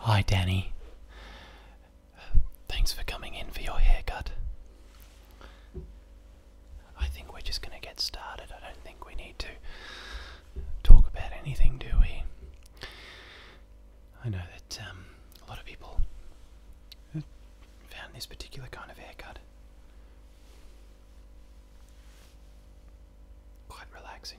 Hi, Danny. Thanks for coming in for your haircut. I think we're just going to get started. I don't think we need to talk about anything, do we? I know that um, a lot of people found this particular kind of haircut quite relaxing.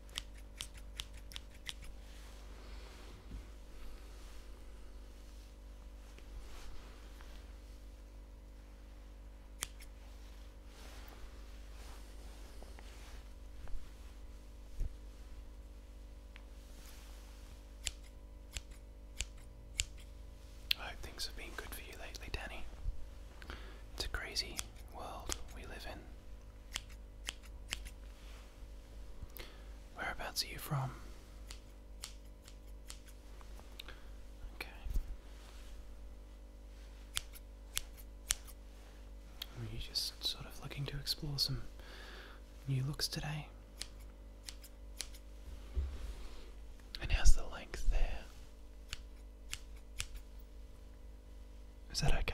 I hope things have been good for you lately, Danny. It's a crazy world we live in. Whereabouts are you from? Okay. Were you just sort of looking to explore some new looks today? And how's the length there? Is that okay?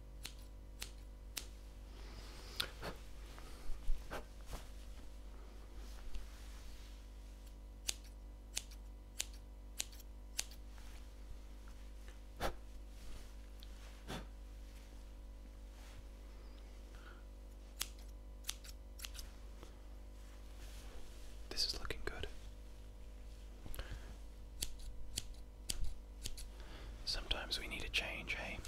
This is looking good. Sometimes we need a change, hey?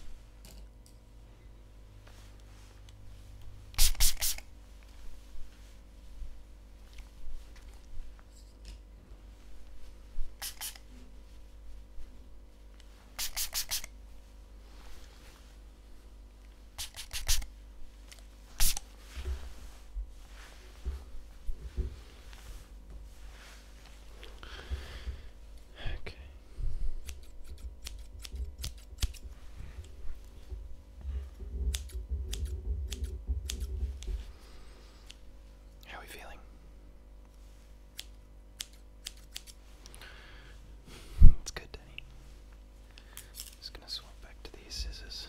Okay. How are we feeling? It's good, Danny. Just gonna swap back to these scissors.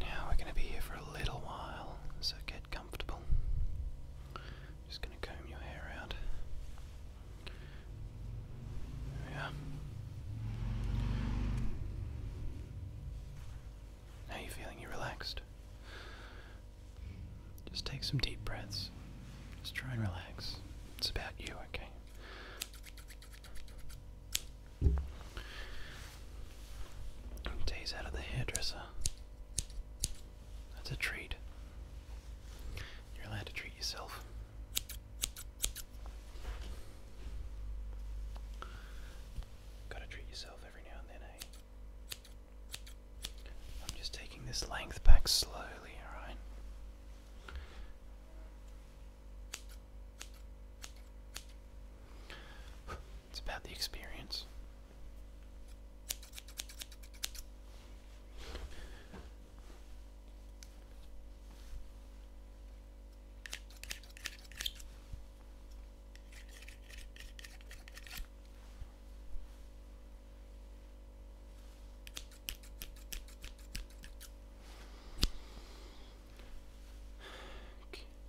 Now we're going to be here for a little while, so get comfortable. Just going to comb your hair out. There we are. are you feeling? You relaxed? Just take some deep breaths. Just try and relax. It's about you, okay? Days out of the hairdresser. That's a treat. You're allowed to treat yourself. Gotta treat yourself every now and then, eh? I'm just taking this length back slowly, alright? It's about the experience.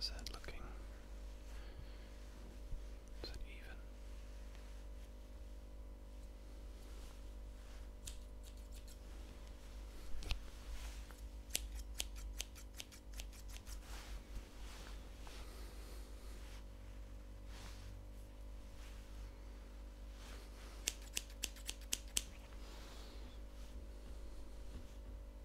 Is that looking? Is it even?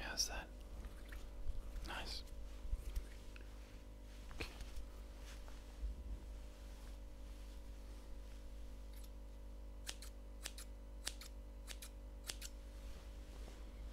How's that? Nice.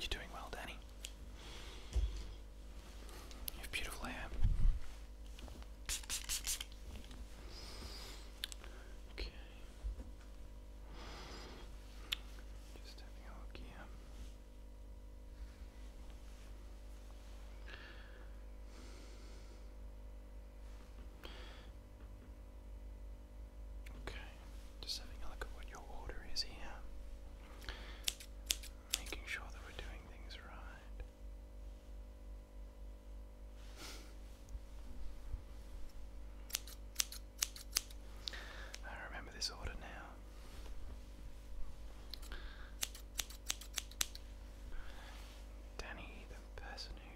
You're doing well, Danny. You have beautiful hair. Okay. Just having a look here. Okay, just having a look at what your order is here. Making sure that we're doing things right. I remember this order now. Danny, the person who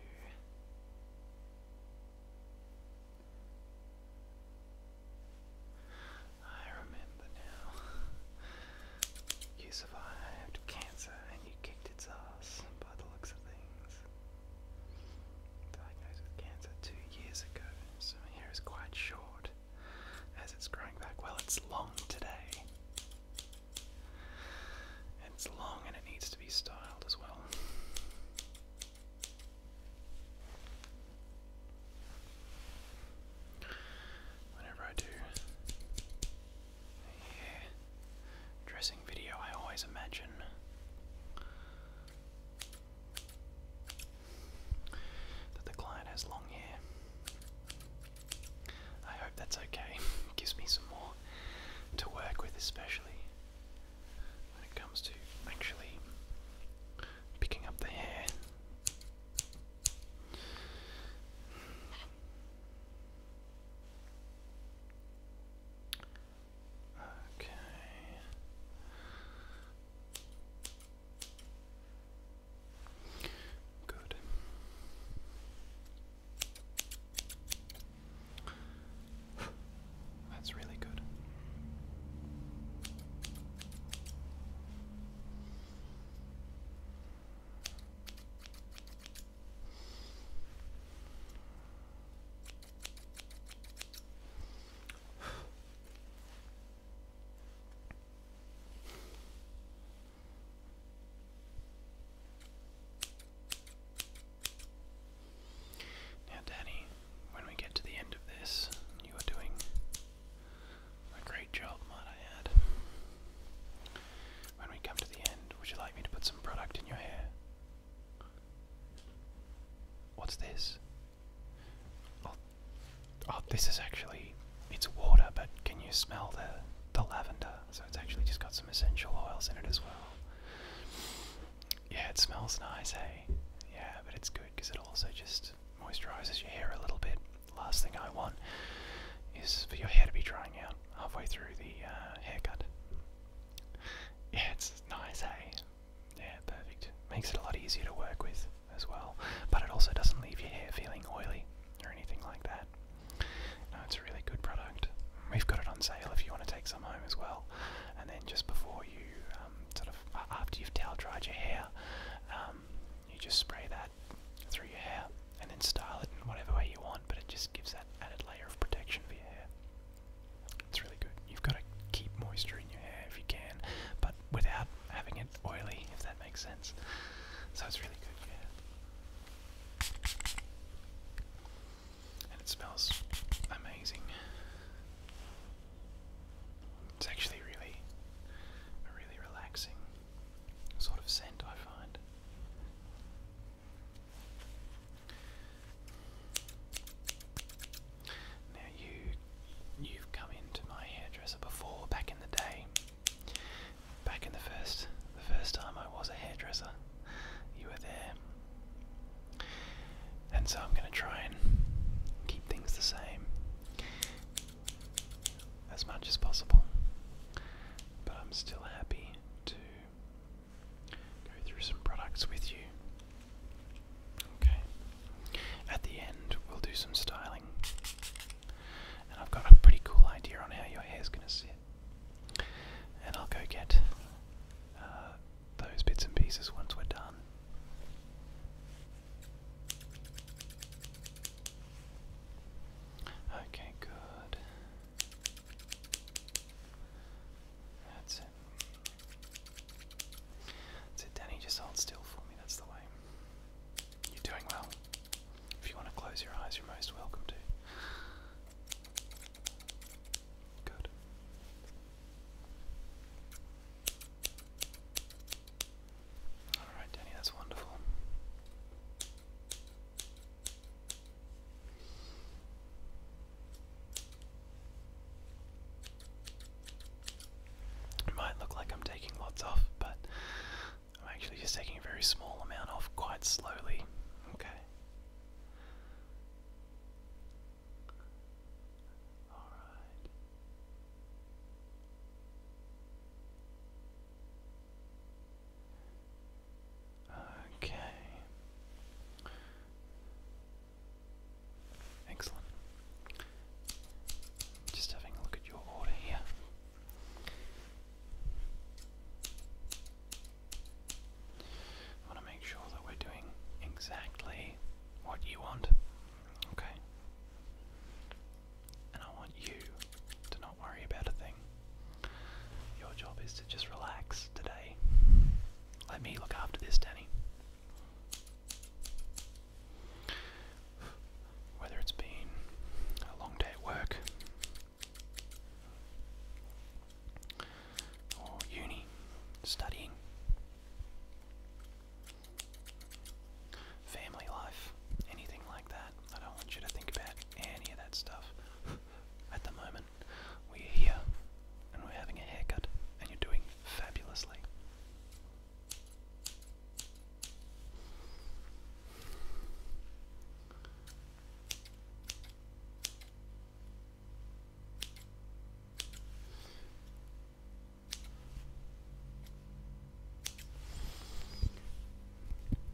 I remember now. You survived cancer and you kicked its ass by the looks of things. Diagnosed with cancer two years ago, so my hair is quite short as it's growing back. Well, it's long today. It's long and it needs to be styled as well. Whenever I do a dressing video, I always imagine that the client has long hair. I hope that's okay. Gives me some more to work with, especially when it comes to actually picking up the hair. Okay. Good. That's really good. Now, Danny, when we get to the end of this, you are doing a great job, might I When we come to the end, would you like me to put some product in your hair? What's this? Oh, oh this is actually. It's water, but can you smell the, the lavender? So it's actually just got some essential oils in it as well. Yeah, it smells nice, hey? Yeah, but it's good because it also just moisturizes your hair a little bit. Last thing I want is for your hair to be drying out halfway through the uh, haircut. Yeah, it's nice, hey? Yeah, perfect. Makes it a lot easier to work with as well, but it also doesn't leave your hair feeling oily or anything like that. No, it's a really good product. We've got it on sale if you want to take some home as well and then just before you um, sort of after you've towel dried your hair, um, you just spray that through your hair and then style it in whatever way you want. But it just gives that added layer of protection for your hair. It's really good. You've got to keep moisture in your hair if you can, but without having it oily, if that makes sense. So it's really good. Yeah and it smells amazing. It's actually really, a really relaxing sort of scent, I find. Now you, you've come into my hairdresser before, back in the day, back in the first, the first time I was a hairdresser you were there. And so I'm going to try and keep things the same as much as possible. But I'm still happy to go through some products with you. Okay. At the end, we'll do some styling. And I've got a pretty cool idea on how your hair is going to sit. And I'll go get uh, those bits and pieces once we're done. Okay, good. That's it. That's it, Danny. Just hold still for me. That's the way. You're doing well. If you want to close your eyes, you're most welcome to. Good. Alright, Danny, that's wonderful. It might look like I'm taking lots off, but I'm actually just taking a very small amount off quite slowly. Okay. All right. Okay. Excellent. Just having a look at your order here. I want to make sure that we're doing exactly what you want. Okay? And I want you to not worry about a thing. Your job is to just relax today. Let me look after this, Danny. Whether it's been a long day at work, uni, studying, family life, anything like that. I don't want you to think about any of that stuff. At the moment, we're here and we're having a haircut, and you're doing fabulously.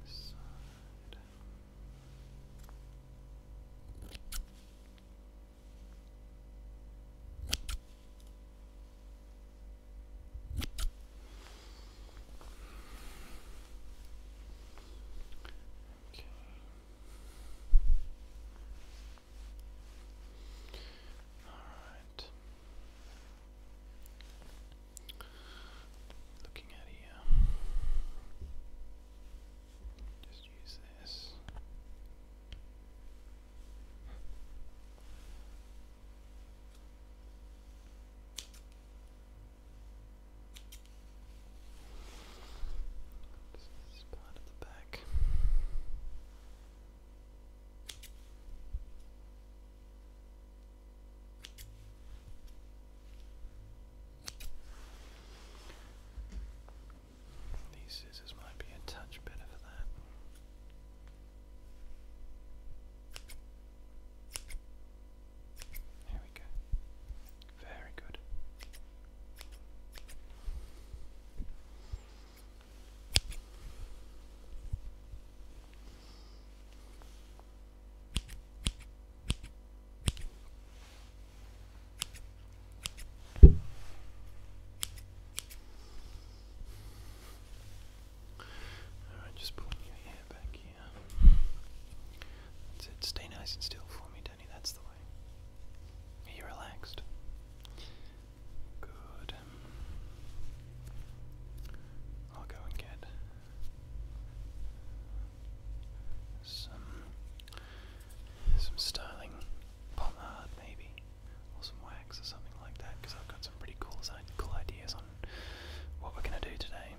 This side. Okay. Alright. Looking at here. Just use this. This part at the back. These scissors might be a touch better for that. There we go. Very good. Alright, just pulling your hair back here. That's it. Stay nice and still for me, Denny, that's the way. Are you relaxed? Good. I'll go and get some some styling pomade maybe, or some wax or something like that, because I've got some pretty cool cool ideas on what we're gonna do today.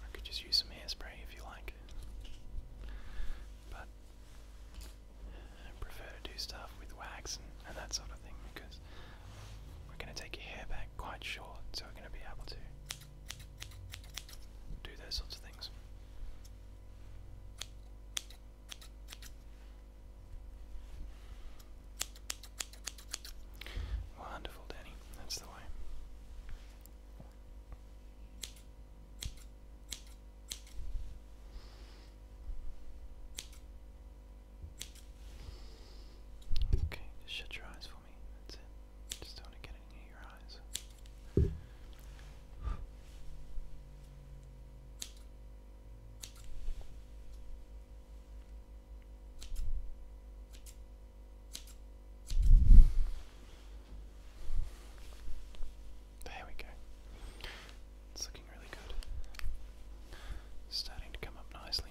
I could just use some hairspray if you like. But prefer to do stuff with wax and that sort of thing because we're going to take your hair back quite short, so we're going to be able to do those sorts of things. Wonderful, Danny. That's the way. Okay, shut your eyes for me. That's it. Just don't get any your eyes. There we go. It's looking really good. Starting to come up nicely.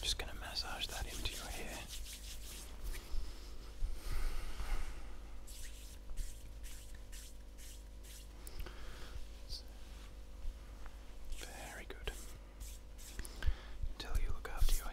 just going to massage that into your hair. Very good. Until you look after your hair.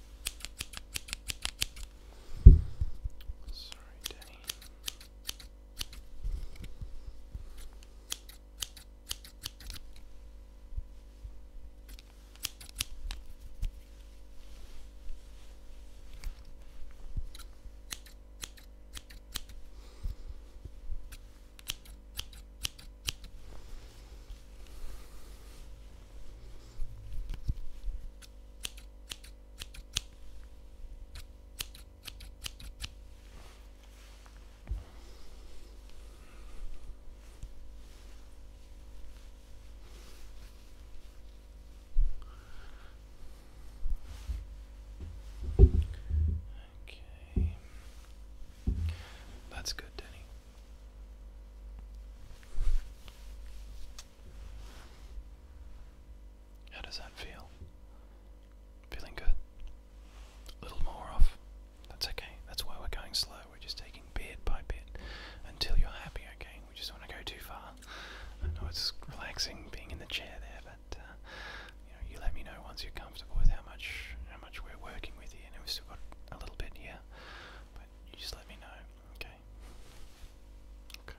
Sorry, Denny. Okay. That's good, Denny. How does that feel? Feeling good? A little more off. That's okay. That's why we're going slow. We're just taking bit by bit until you're happy, okay? We just don't want to go too far. I know it's relaxing being in the chair there, but uh, you know, you let me know once you're comfortable with how much how much we're working with you. And we've still got a little bit here, you just let me know, okay? Okay.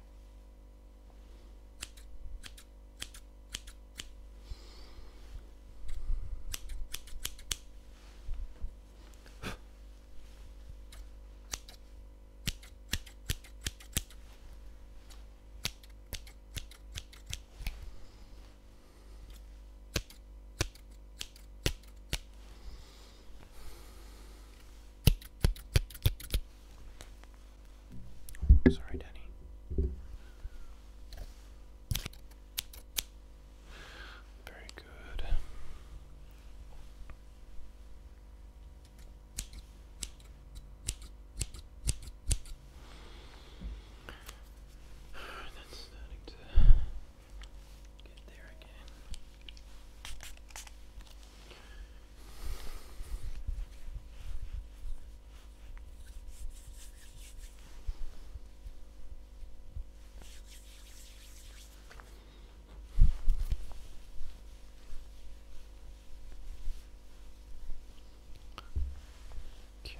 Sorry, Danny. Very good. That's starting to Get there again. Okay.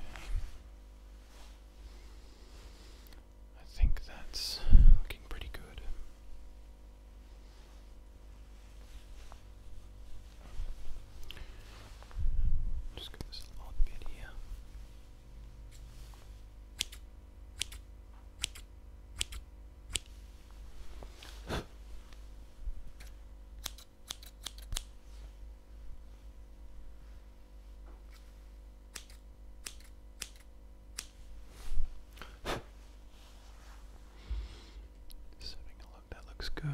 I think that's looking pretty good. Just get this little bit here having a look, that looks good.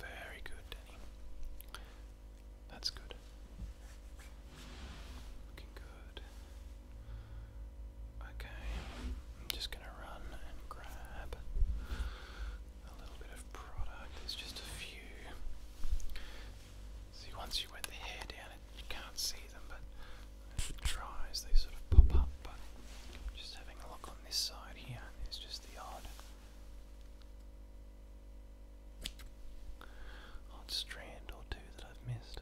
Very good, Denny. That's good. Looking good. Okay, I'm just going to run and grab a little bit of product. There's just a few. See, once you wet the hair down, it, you can't see them, but as it dries, they sort of pop up. But just having a look on this side here, there's just the odd. Odd strand or two that I've missed.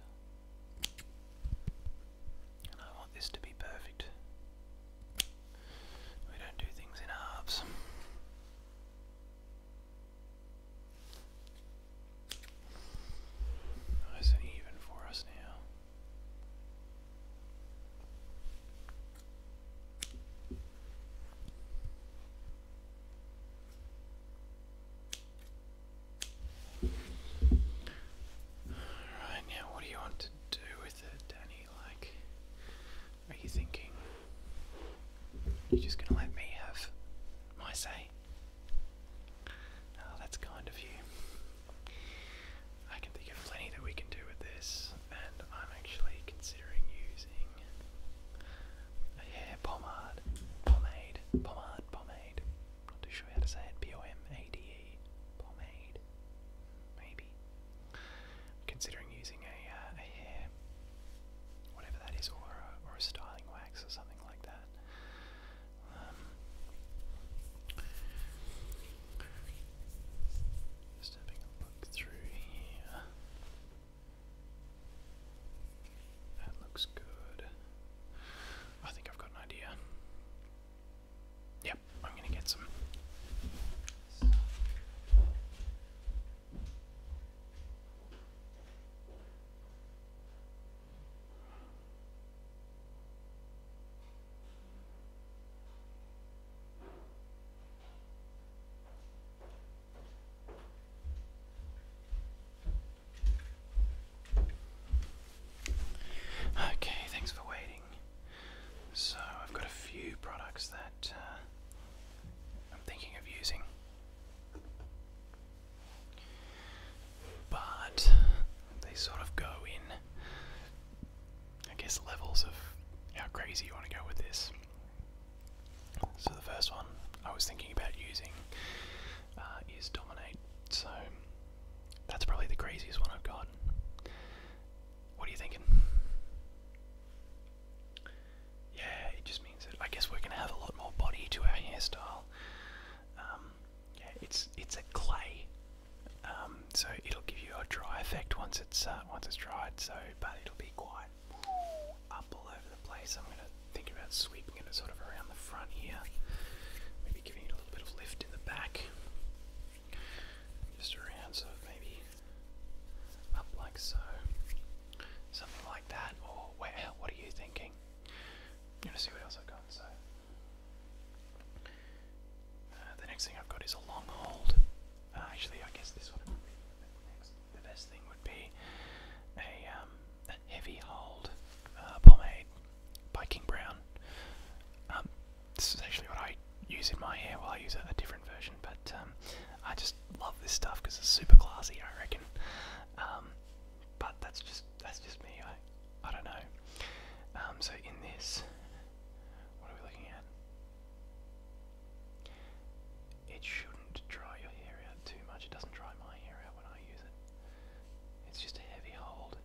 I want this to be perfect. We don't do things in halves. Nice and even for us now. Right now, what do you want to do with it, Danny? Like, are you thinking you're just gonna let me have my say? that's kind of you. I can think of plenty that we can do with this, and I'm actually considering using a hair pomade, pomade, pomade, pomade. not too sure how to say it. P O M A D pomade, maybe. considering using a, uh, a hair, whatever that is, or a, styling wax or something like that. Um, just having a look through here. That looks good. I think I've got an idea. Yep, I'm gonna get some. Okay, thanks for waiting. So, I've got a few products that uh, I'm thinking of using. But they sort of go in, I guess, levels of how crazy you want to go with this. So, the first one I was thinking about using uh, is Dominate. So, that's probably the craziest one I've got. What are you thinking? Yeah, it just means that I guess we're gonna have a lot more body to our hairstyle. Um, yeah, it's it's a clay, um, so it'll give you a dry effect once it's uh, once it's dried. So, but it'll be quite up all over the place. I'm gonna think about sweeping it sort of around the front here, giving it a little bit of lift in the back. Just around, so maybe up like so. Something like that. Or, well, what are you thinking? I'm going to see what else I've got. So, uh, the next thing I've got is a long hold. Uh, actually, I guess this one would be the, next, the best thing would be a, um, a heavy hold uh, pomade by King Brown. Um, this is actually what I use in my hair. Well, I use a, different version, but um, I just love this stuff because it's super classy, I reckon. Um, but that's just that's just me. I I don't know. so in this, what are we looking at? It shouldn't dry your hair out too much. It doesn't dry my hair out when I use it. It's just a heavy hold.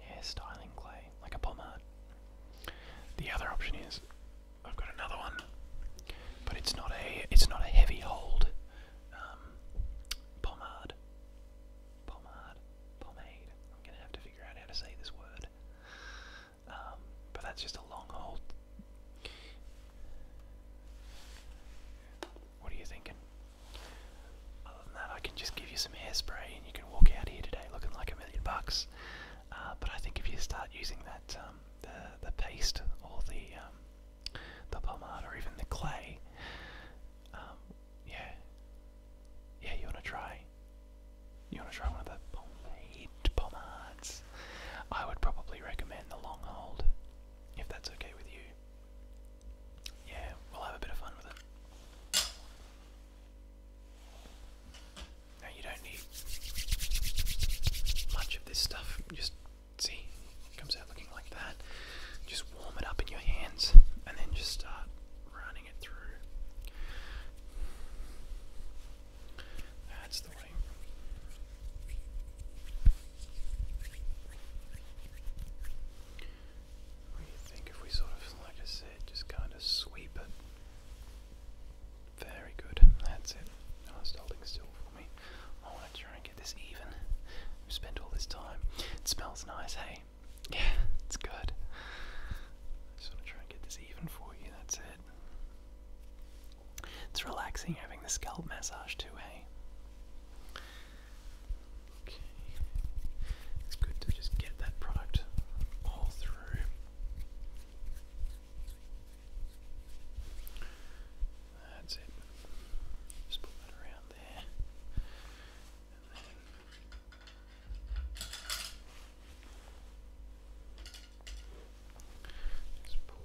Yeah, styling clay, like a pomade. The other option is I've got another one, but it's not a it's not a heavy hold um, pomade. Pomade, pomade. I'm gonna have to figure out how to say this word. Um, but that's just a long hold. What are you thinking? Other than that, I can just give you some hairspray and you can walk out here today looking like a million bucks. Uh, but I think if you start using that um, the the paste or the um, the pomade or even the clay, um, yeah, yeah, you wanna try. You wanna try one of the pomade pomades? I would probably recommend the long hold if that's okay with you. Yeah, we'll have a bit of fun with it. Now, you don't need much of this stuff. Just see, comes out looking like that. Just warm it up in your hands and then just start running it through. That's the way. What do you think if we sort of, like I said, just kind of sweep it? Very good, that's it. No, it's holding still for me. I want try and get this even. we spent all this time. It smells nice, hey? Yeah, it's good. just try and get this even for you, that's it. It's relaxing having the scalp massage too, hey? It's good to just get that product all through. That's it. Just put that around there. And then just pull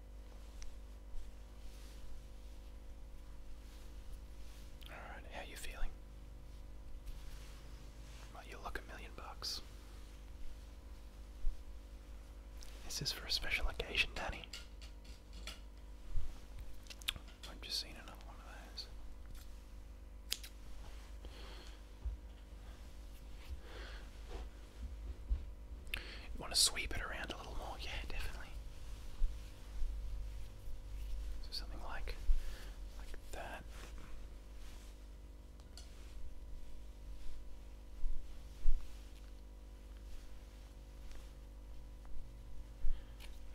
Alright, how you feeling? Well, you look a million bucks. This is for a special occasion, Danny. I've just seen another one of those. want to sweep it around a little more? Yeah, definitely. So something like like that.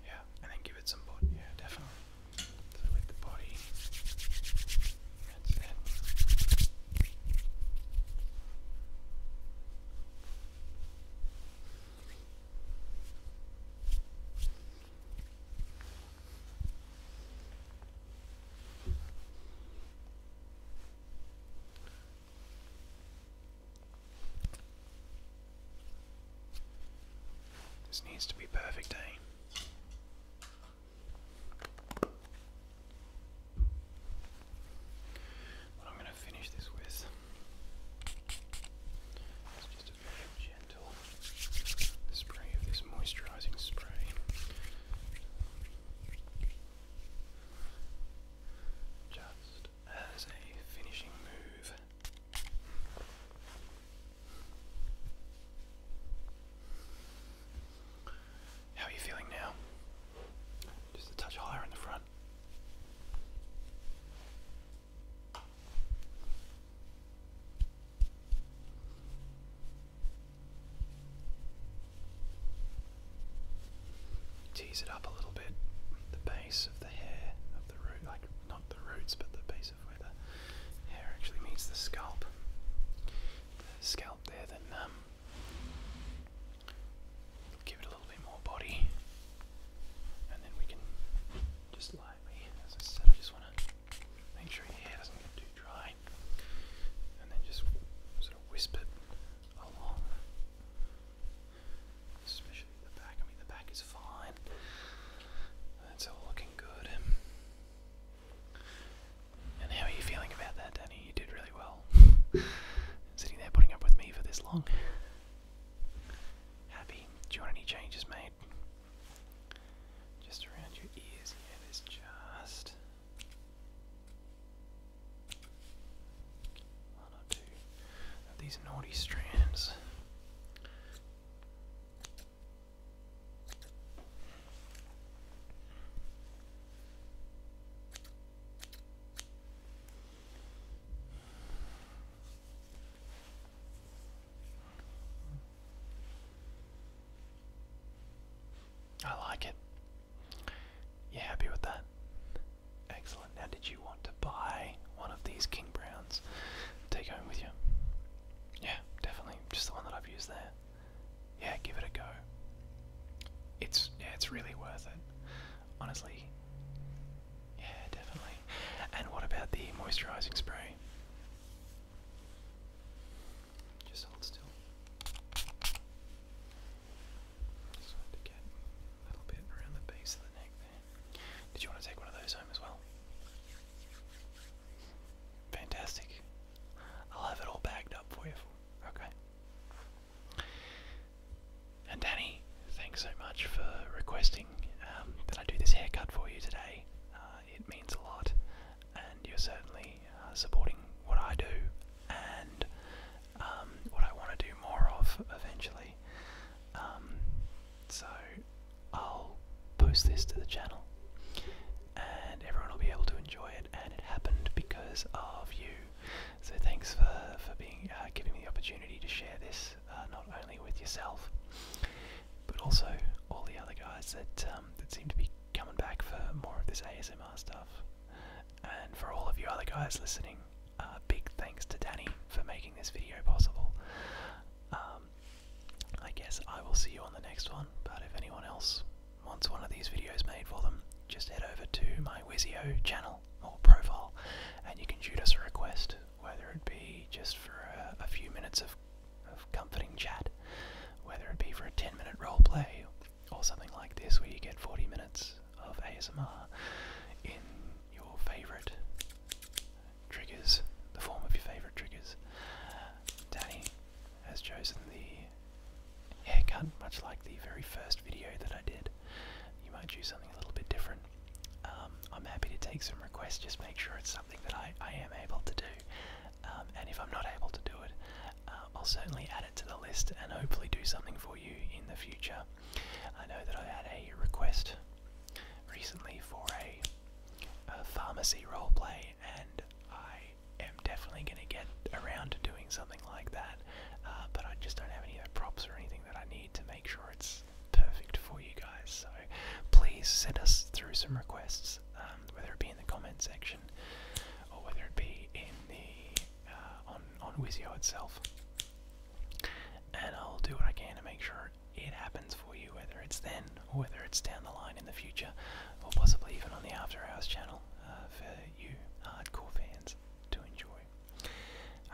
Yeah, and then give it some body. Yeah, definitely. So like the body. That's it. This needs to be perfect, eh? What I'm going to finish this with just a very gentle spray of this moisturizing spray. Just as a finishing move. How are you feeling now? Just a touch higher in the front. Tease it up a little bit. The base of the hair, of the root, like not the roots, but the base of where the hair actually meets the scalp. The scalp there, then um, give it a little bit more body, and then we can just lightly, as I said, I just want to make sure your hair doesn't get too dry, and then just sort of whisper it along, especially the back. I mean, the back is fine, that's all looking good. And how are you feeling about that, Danny? You did really well. Sitting there putting up with me for this long. Happy? Do you want any changes made? Just around your ears, yeah, just these naughty strands. I like it. You happy with that? Excellent. Now, did you want to buy one of these King Browns? Take home with you? Yeah, definitely. Just the one that I've used there. Yeah, give it a go. It's yeah, it's really worth it. Honestly, yeah, definitely. And what about the moisturising spray? Just hold still. Just want to get a little bit around the base of the neck there. Did you want to take one of those home as well? Fantastic. I'll have it all bagged up for you. Okay. And Danny, thanks so much for requesting um, that I do this haircut for you today. Uh, it means a lot, and you're certainly uh, supporting what I do and um, what I want to do more of eventually. Um, so I'll post this to the channel, and everyone will be able to enjoy it. And it happened because of you so thanks for for being uh, giving me the opportunity to share this uh, not only with yourself, but also all the other guys that um, that seem to be coming back for more of this ASMR stuff. And for all of you other guys listening, uh, big thanks to Danny for making this video possible. Um, I guess I will see you on the next one, but if anyone else wants one of these videos made for them, just head over to my Wizio channel or profile, and you can shoot us a request, whether it be just for a, few minutes of, of comforting chat, whether it be for a 10 minute role play, or something like this where you get 40 minutes of ASMR in your favourite triggers, the form of your favourite triggers. Danny has chosen the haircut, much like the very first video that I did you might choose something a little bit different. Um, I'm happy to take some requests, just make sure it's something that I, I am able to do. Um, and if I'm not able to do it, uh, I'll certainly add it to the list and hopefully do something for you in the future. I know that I had a request recently for a, pharmacy role play, and I am definitely going to get around to doing something like that. Uh, but I just don't have any of the props or anything that I need to make sure it's perfect for you guys. So please send us through some requests, um, whether it be in the comment section or whether it be in the uh, on on Wizio itself. And I'll do what I can to make sure it happens for you, whether it's then or whether it's down the line in the future, or possibly even on the After Hours channel uh, for you hardcore fans to enjoy.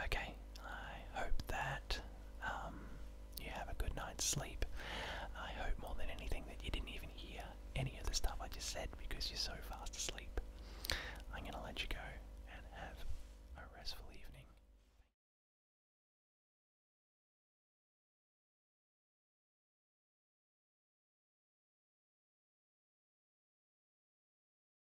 Okay, I hope that um, you have a good night's sleep. I hope more than anything that you didn't even hear any of the stuff I just said because you're so fast asleep. I'm going to let you go and have a restful evening.